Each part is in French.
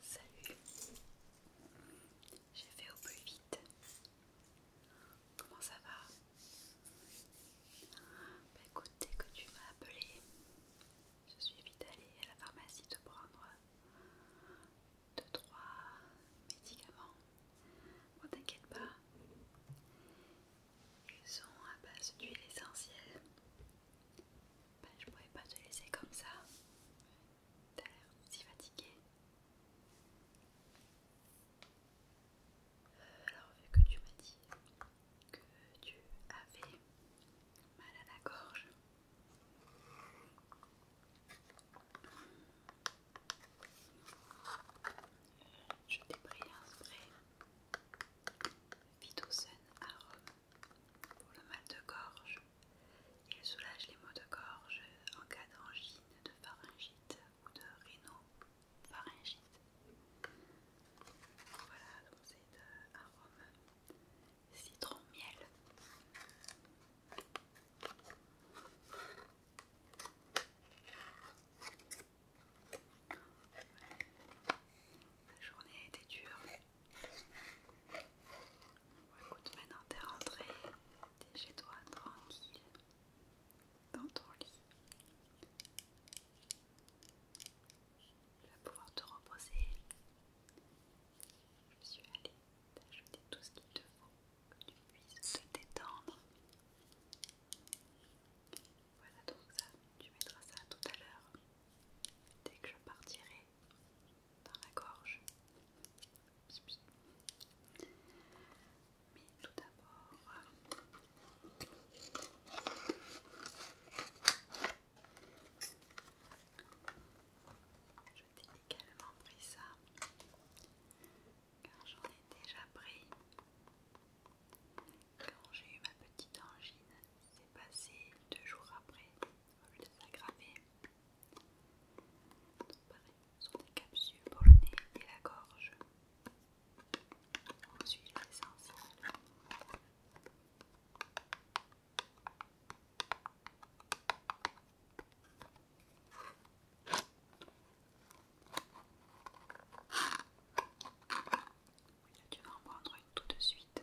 Salut, j'ai fait au plus vite. Comment ça va bah Écoute, dès que tu m'as appelé, je suis vite allée à la pharmacie te prendre deux, trois médicaments. Bon, t'inquiète pas, ils sont à base d'huile essentielle. Je ben, je pourrais pas te laisser comme ça. as l'air si fatigué. Euh, alors, vu que tu m'as dit que tu avais mal à la gorge, je t'ai pris un spray Vitocène à Rome pour le mal de gorge. Il soulage les maux de gorge en cas d'angine, de pharyngite ou de rhino-pharyngite. Voilà, donc c'est à Rome citron miel. La journée a été dure. écoute, maintenant t'es rentré, t'es chez toi tranquille, dans ton lit tu vas pouvoir te reposer. Je suis allée t'ajouter tout ce qu'il te faut que tu puisses te détendre. Voilà donc ça, tu mettras ça tout à l'heure dès que je partirai dans la gorge. Mais tout d'abord, je t'ai également pris ça car j'en ai déjà pris. Quand j'ai eu ma petite angine, c'est passé deux jours après, au lieu de s'aggraver. Donc pareil, ce sont des capsules pour le nez et la gorge. Ensuite, l'essentiel tu vas en prendre une tout de suite.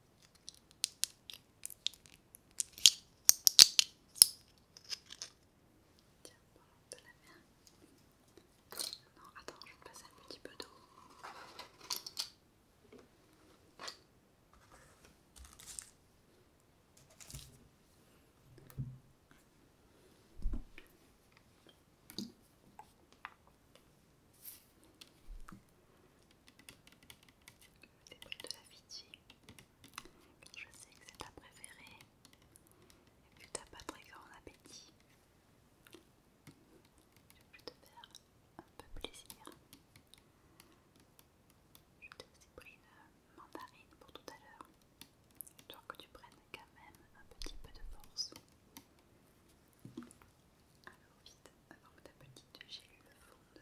Tiens, de la Non, attends, je vais passer un petit peu d'eau des de la Je sais que c'est ta préférée. Et puis t'as pas très grand appétit. Je vais te faire un peu plaisir. Je te aussi pris une mandarine pour tout à l'heure. Histoire que tu prennes quand même un petit peu de force. Alors vite, avant que ta petite gélule fonde.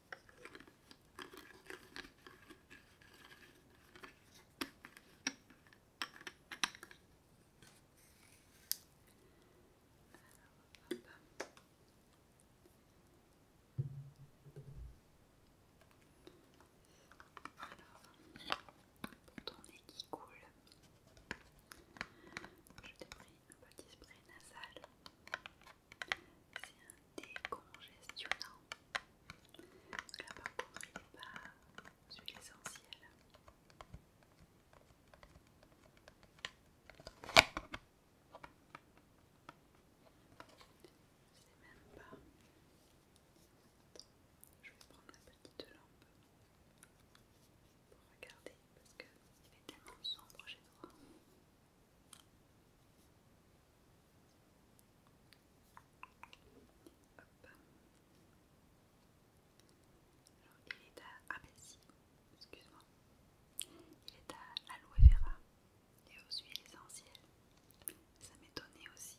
Alors, pour ton nez qui coule, je t'ai pris un petit spray nasal. C'est un décongestionnant. Là par contre, il n'est pas celui essentiel. Je même pas. Je vais prendre la petite lampe pour regarder parce qu'il est tellement sombre chez toi il est à. ABC, ah, ben excuse-moi. Il est à l'aloe vera et aux huiles essentielles. Ça m'étonnait aussi.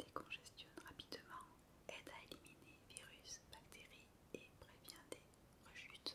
il décongestionne rapidement, aide à éliminer virus, bactéries et prévient des rechute.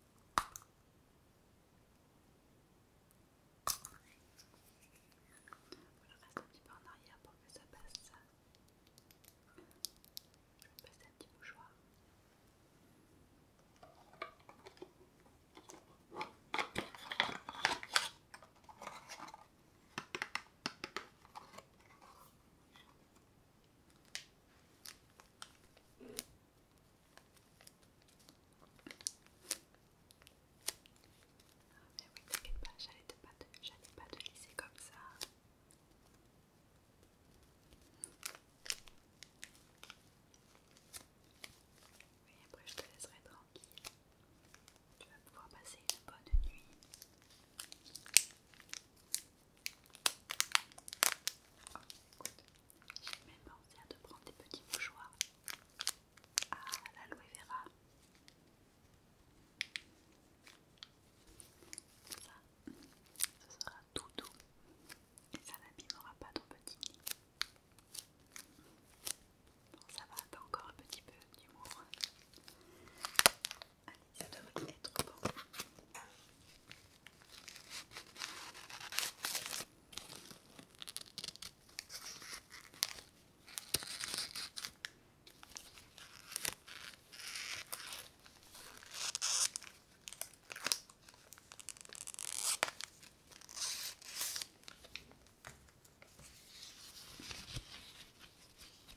va reste un petit peu en arrière pour que ça passe. Je vais passer un petit mouchoir mais oui, t'inquiète pas, j'allais pas, pas te laisser comme ça. Oui, après je te laisserai tranquille. Tu vas pouvoir passer une bonne nuit écoute, j'ai même pensé à te prendre des petits mouchoirs à l'aloe vera. Ça, sera tout doux et ça n'abîmera pas ton petit nid. Bon, ça va, t'as encore un petit peu d'humour. Allez, ça devrait être bon.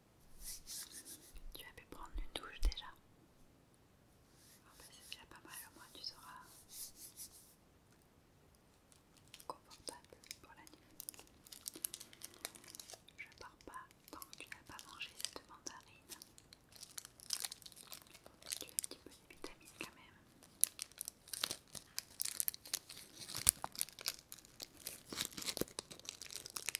Tu as pu prendre une douche déjà bah, C'est déjà pas mal, au moins tu seras confortable pour la nuit. Je pars pas tant que tu n'as pas mangé cette mandarine. tu as un petit peu de vitamines quand même.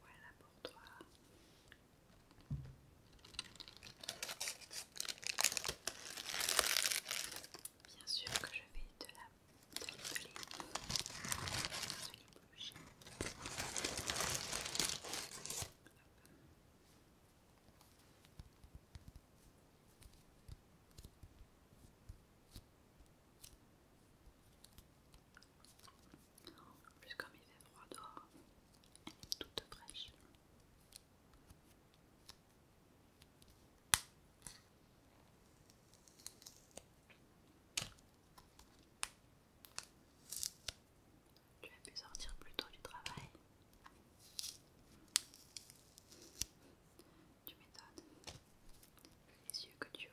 Voilà pour toi. Bien sûr que je vais te la plus, comme il fait froid dehors, elle est toute fraîche. Tu as pu sortir plus tôt du travail tu m'étonnes. Les yeux que tu as.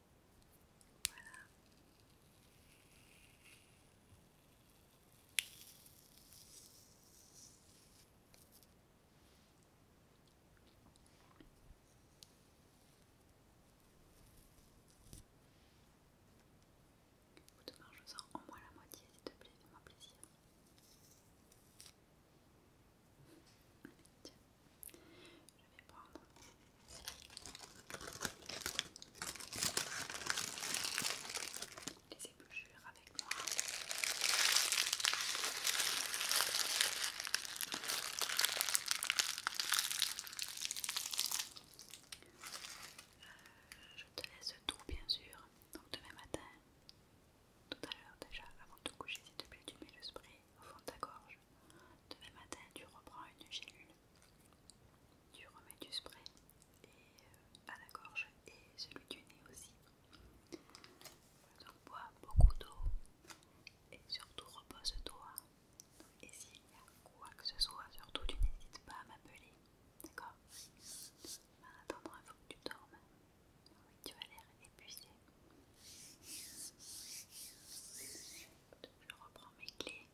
Voilà. Ou demain je sors au moins la moitié s'il te plaît, fais-moi plaisir. Tiens. Je vais prendre. Les ébouchures avec moi. Euh, je te laisse tout bien sûr. Donc demain matin, tout à l'heure déjà, avant de te coucher, s'il te plaît, tu mets le spray au fond de ta gorge. Demain matin, tu reprends une gélule, tu remets du spray et, euh, à la gorge et celui du nez aussi. Donc bois beaucoup d'eau et surtout repose-toi. Et s'il y a quoi que ce soit, surtout tu n'hésites pas à m'appeler. D'accord va un peu que tu dormes. tu as l'air épuisé je reprends mes clés,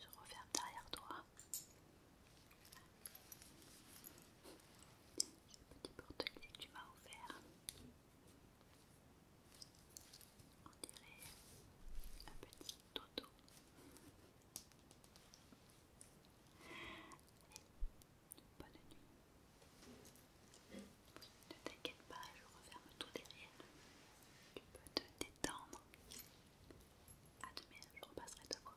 je referme derrière toi. la petit porte-clés que tu m'as offert. On dirait un petit toto. bonne nuit. Ne t'inquiète pas, je referme tout derrière. Tu peux te détendre. je repasserai te voir.